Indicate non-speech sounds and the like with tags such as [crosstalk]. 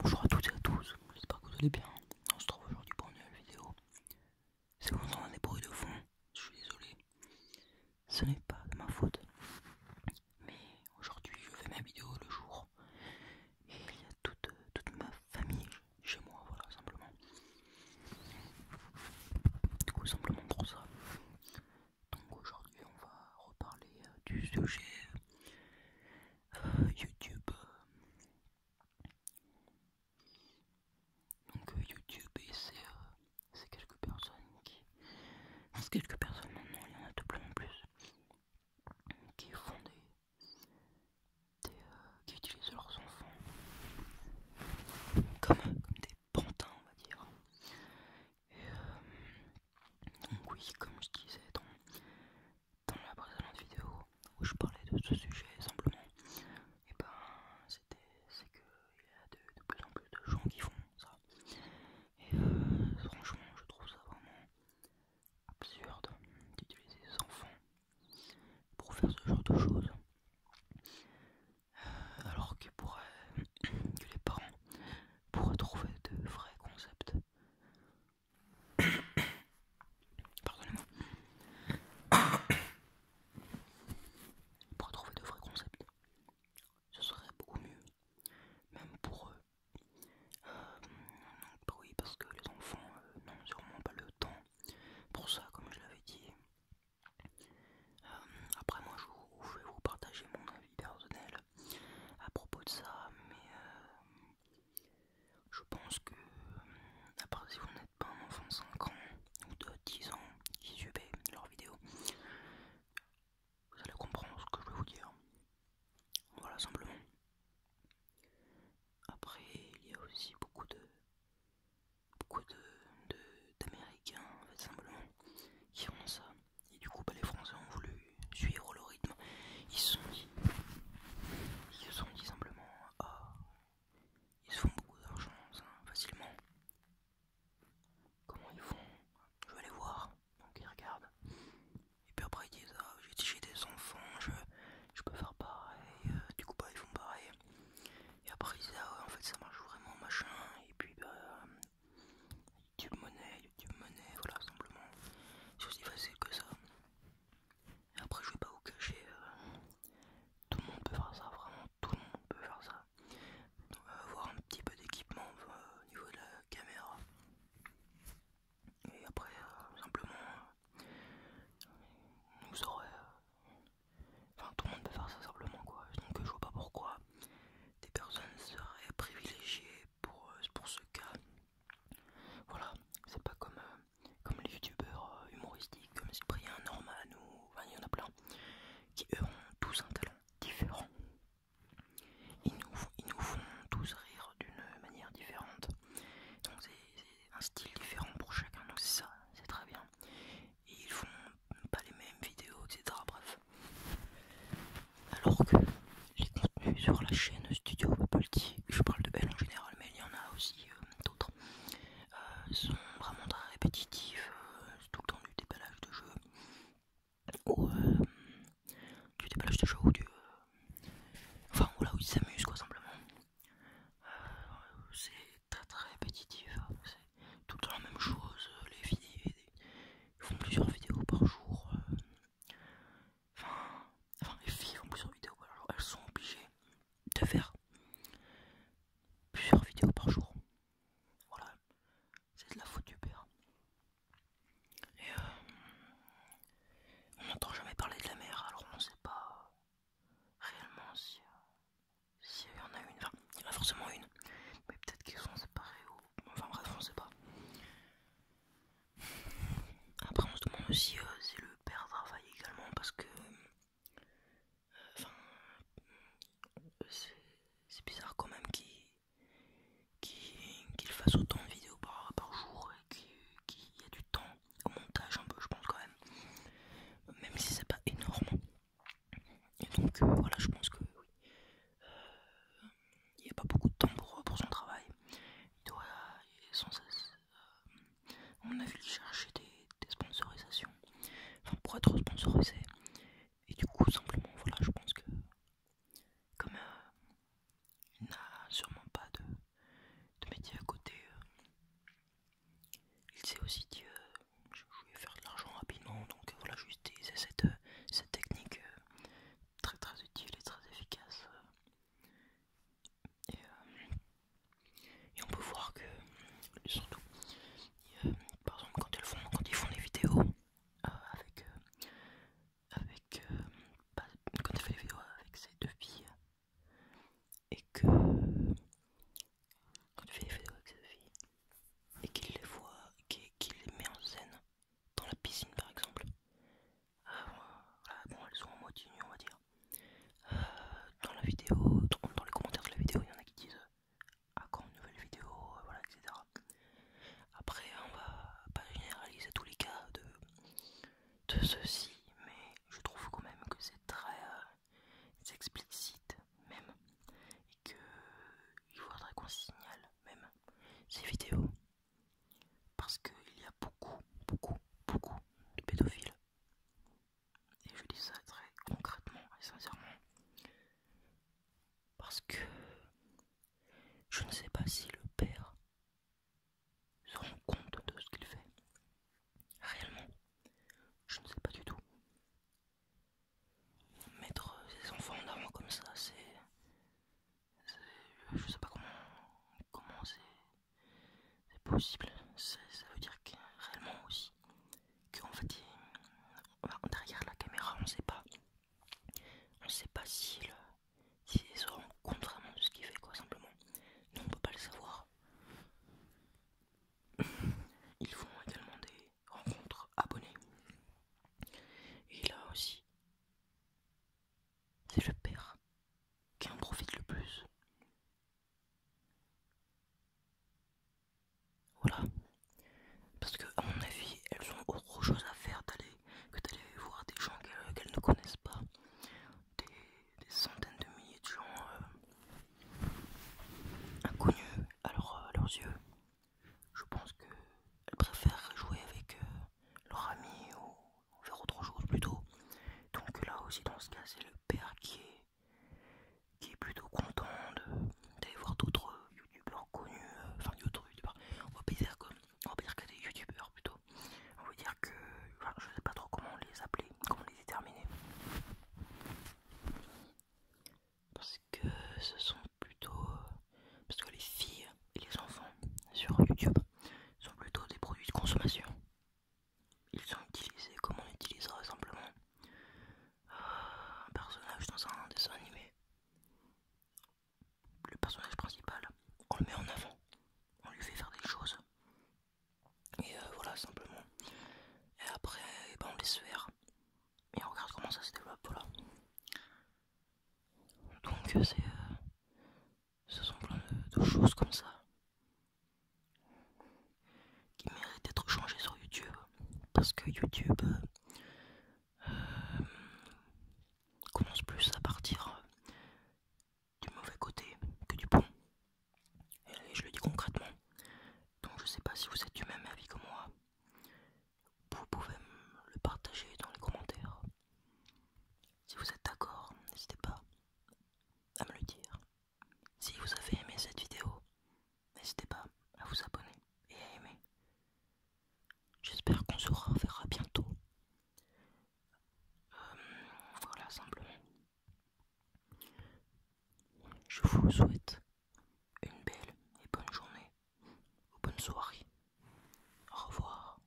Bonjour à toutes et à tous, j'espère que vous allez bien. On se trouve aujourd'hui pour une nouvelle vidéo. C'est C'est on a des bruits de fond, je suis désolé. Ce n'est pas de ma faute. Mais aujourd'hui, je fais ma vidéo le jour. Et il y a toute, toute ma famille chez moi, voilà, simplement. Du coup simplement pour ça. Donc aujourd'hui, on va reparler euh, du sujet YouTube. Donc euh, YouTube et euh, c'est quelques personnes qui. c'est quelques personnes maintenant, il y en a plus plus. Qui font des. Euh, qui utilisent leurs enfants comme, des pantins on va dire. donc oui, comme je disais dans la précédente vidéo où je parlais de ce sujet simplement, et ben, c'était c'est que il y a de, plus en plus de gens qui font ça. Et euh, franchement, je trouve ça vraiment absurde d'utiliser des enfants pour faire ce genre de choses. Euh, alors que, [clears throat] que les parents pourraient trouver de vrais concepts [coughs] Pardonnez-moi. [coughs] Pour trouver de vrais concepts, ce serait beaucoup mieux, même pour eux. Euh, oui, parce que les enfants euh, n'ont sûrement pas le temps pour ça, comme je l'avais dit. Euh, après, moi, je vais vous partager mon avis personnel à propos de ça, mais euh, je pense que, à euh, part si vous n'êtes pas un enfant de 5 ans ou de 10 ans qui suivaient leurs vidéos, vous allez comprendre ce que je vais vous dire. Voilà, simplement. Après, il y a aussi beaucoup de beaucoup d'Américains, de, d'américains en fait, simplement, qui font ça. Et du coup, bah, les Français ont voulu suivre le rythme. Ils se sont dit, ils se sont dit simplement, oh, ils se font beaucoup d'argent facilement. Comment ils font Je vais aller voir. Donc ils regardent. Et puis après ils disent, ah, j'ai des enfants, je, je peux faire pareil. Euh, du coup, bah, ils font pareil. Et après ils disent, ah en fait ça marche vraiment, machin. Et puis, bah, YouTube Monnaie, YouTube Monnaie, voilà, simplement. Bah, c'est aussi facile que ça. Et après, je vais pas vous cacher, euh, tout le monde peut faire ça, vraiment tout le monde peut faire ça. On euh, va avoir un petit peu d'équipement euh, au niveau de la caméra. Et après, simplement, nous enfin, tout le monde peut faire ça simplement quoi. Donc, je vois pas pourquoi des personnes seraient privilégiées pour, pour ce cas voilà, c'est pas comme, euh, comme les youtubeurs euh, humoristiques comme Cyprien, Norman ou. Enfin, il y en a plein qui eux ont tous un talent différent. Ils nous, ils nous font tous rire d'une manière différente. Donc c'est un style différent pour chacun, donc c'est ça, c'est très bien. Et ils font pas les mêmes vidéos, etc. Bref. Alors que les contenus sur la chaîne Studio Polti, je parle de Belle en général, mais il y en a aussi euh, d'autres, euh, sont vraiment très répétitifs, euh, tout le temps du déballage de jeux, ou du déballage de jeux ou du. enfin, voilà, où ils s'amusent quoi, simplement. c'est très très répétitif, hein. c'est tout le temps la même chose, les vidéos, ils font plusieurs vidéos par jour. Enfin, enfin les filles font plusieurs vidéos, elles sont obligées de faire plusieurs vidéos par jour. Voilà, c'est de la faute du père. Et euh, on n'entend jamais parler de la mère, alors on ne sait pas réellement si euh, s'il y en a une. Enfin, il y en a forcément une, mais peut-être qu'ils sont séparés ou. Enfin bref, on ne sait pas. Après, on se demande aussi c'est euh, le père travail également parce que. Euh, euh, c'est bizarre quand même qu'il fasse autant de vidéos par, jour et qu'il y a du temps au montage un peu, je pense quand même. Même si c'est pas énorme. Et donc, voilà, je pense que oui il n'y a pas beaucoup de temps pour, son travail. Il doit, sans cesse, on a vu chercher des, sponsorisations, enfin pour être sponsorisé. Et du coup, simplement, voilà, je pense que comme euh, il n'a sûrement pas de, métier à côté, euh, il sait aussi dit euh, je, vais faire de l'argent rapidement, donc voilà voilà, juste cette, cette technique très très utile et très efficace. Euh, et, on peut voir que, surtout, par exemple, quand, elles font, quand ils font des vidéos euh, avec. Euh, avec bah, quand ils font les vidéos avec ses deux filles, et que. Quand tu fais les vidéos avec ces deux filles, et qu'il les voit, qu'il les met en scène dans la piscine par exemple, ah, bon, elles sont en on va dire. Euh, dans la vidéo, dans, les commentaires de la vidéo, il y en a qui disent à ah, quand une nouvelle vidéo, euh, etc. Après, on va pas généraliser tous les cas de, ceci, mais je trouve quand même que c'est très euh, explicite, même, et que il faudrait qu'on signale, même, ces vidéos parce qu'il y a beaucoup, beaucoup, beaucoup de pédophiles. Et je dis ça très concrètement et sincèrement. Parce que je ne sais pas si le père se rend compte de ce qu'il fait. Réellement, je ne sais pas du tout. Mettre ses enfants en avant comme ça, c'est je sais pas comment comment c'est possible. Ça veut dire que réellement aussi qu'en fait on derrière la caméra on sait pas on sait pas si ils se rendent compte vraiment de ce qu'il fait quoi simplement. Nous on peut pas le savoir. Ils font également des rencontres abonnés. Et là aussi, c'est je perds qui en profite le plus. Voilà. Parce que à mon avis, elles ont autre chose à faire que d'aller voir des gens qu'elles ne connaissent pas. Des, centaines de milliers de gens euh, inconnus à, leurs yeux. Je pense qu'elles préfèrent jouer avec euh, leurs amis ou on autre chose plutôt. Donc là aussi dans ce cas c'est le père qui est qui est plutôt content d'aller voir d'autres youtubeurs connus, euh, enfin d'autres youtubeurs, on va pas dire on va dire qu'il y a des youtubeurs plutôt, on va dire que enfin, je sais pas trop comment les appeler, comment les déterminer, parce que ce sont plutôt euh, parce que les filles les enfants sur YouTube sont plutôt des produits de consommation. Ils sont utilisés comme on utilisera simplement euh, un personnage dans un dessin animé. Le personnage principal, on le met en avant, on lui fait faire des choses. Et euh, voilà, simplement. Et après, eh ben, on laisse faire. Et on regarde comment ça se développe, voilà. Donc euh, c'est ce sont plein de, choses comme ça qui méritent d'être changées sur YouTube. Parce que YouTube euh, commence plus à partir du mauvais côté que du bon. Et je le dis concrètement. Donc je sais pas si vous êtes du même avis que moi. Vous pouvez me le partager dans les commentaires. Si vous êtes d'accord, n'hésitez pas à me le dire. Si vous avez aimé cette vidéo, n'hésitez pas à vous abonner et à aimer. J'espère qu'on se reverra bientôt. Euh, voilà, simplement. Je vous souhaite une belle et bonne journée ou bonne soirée. Au revoir.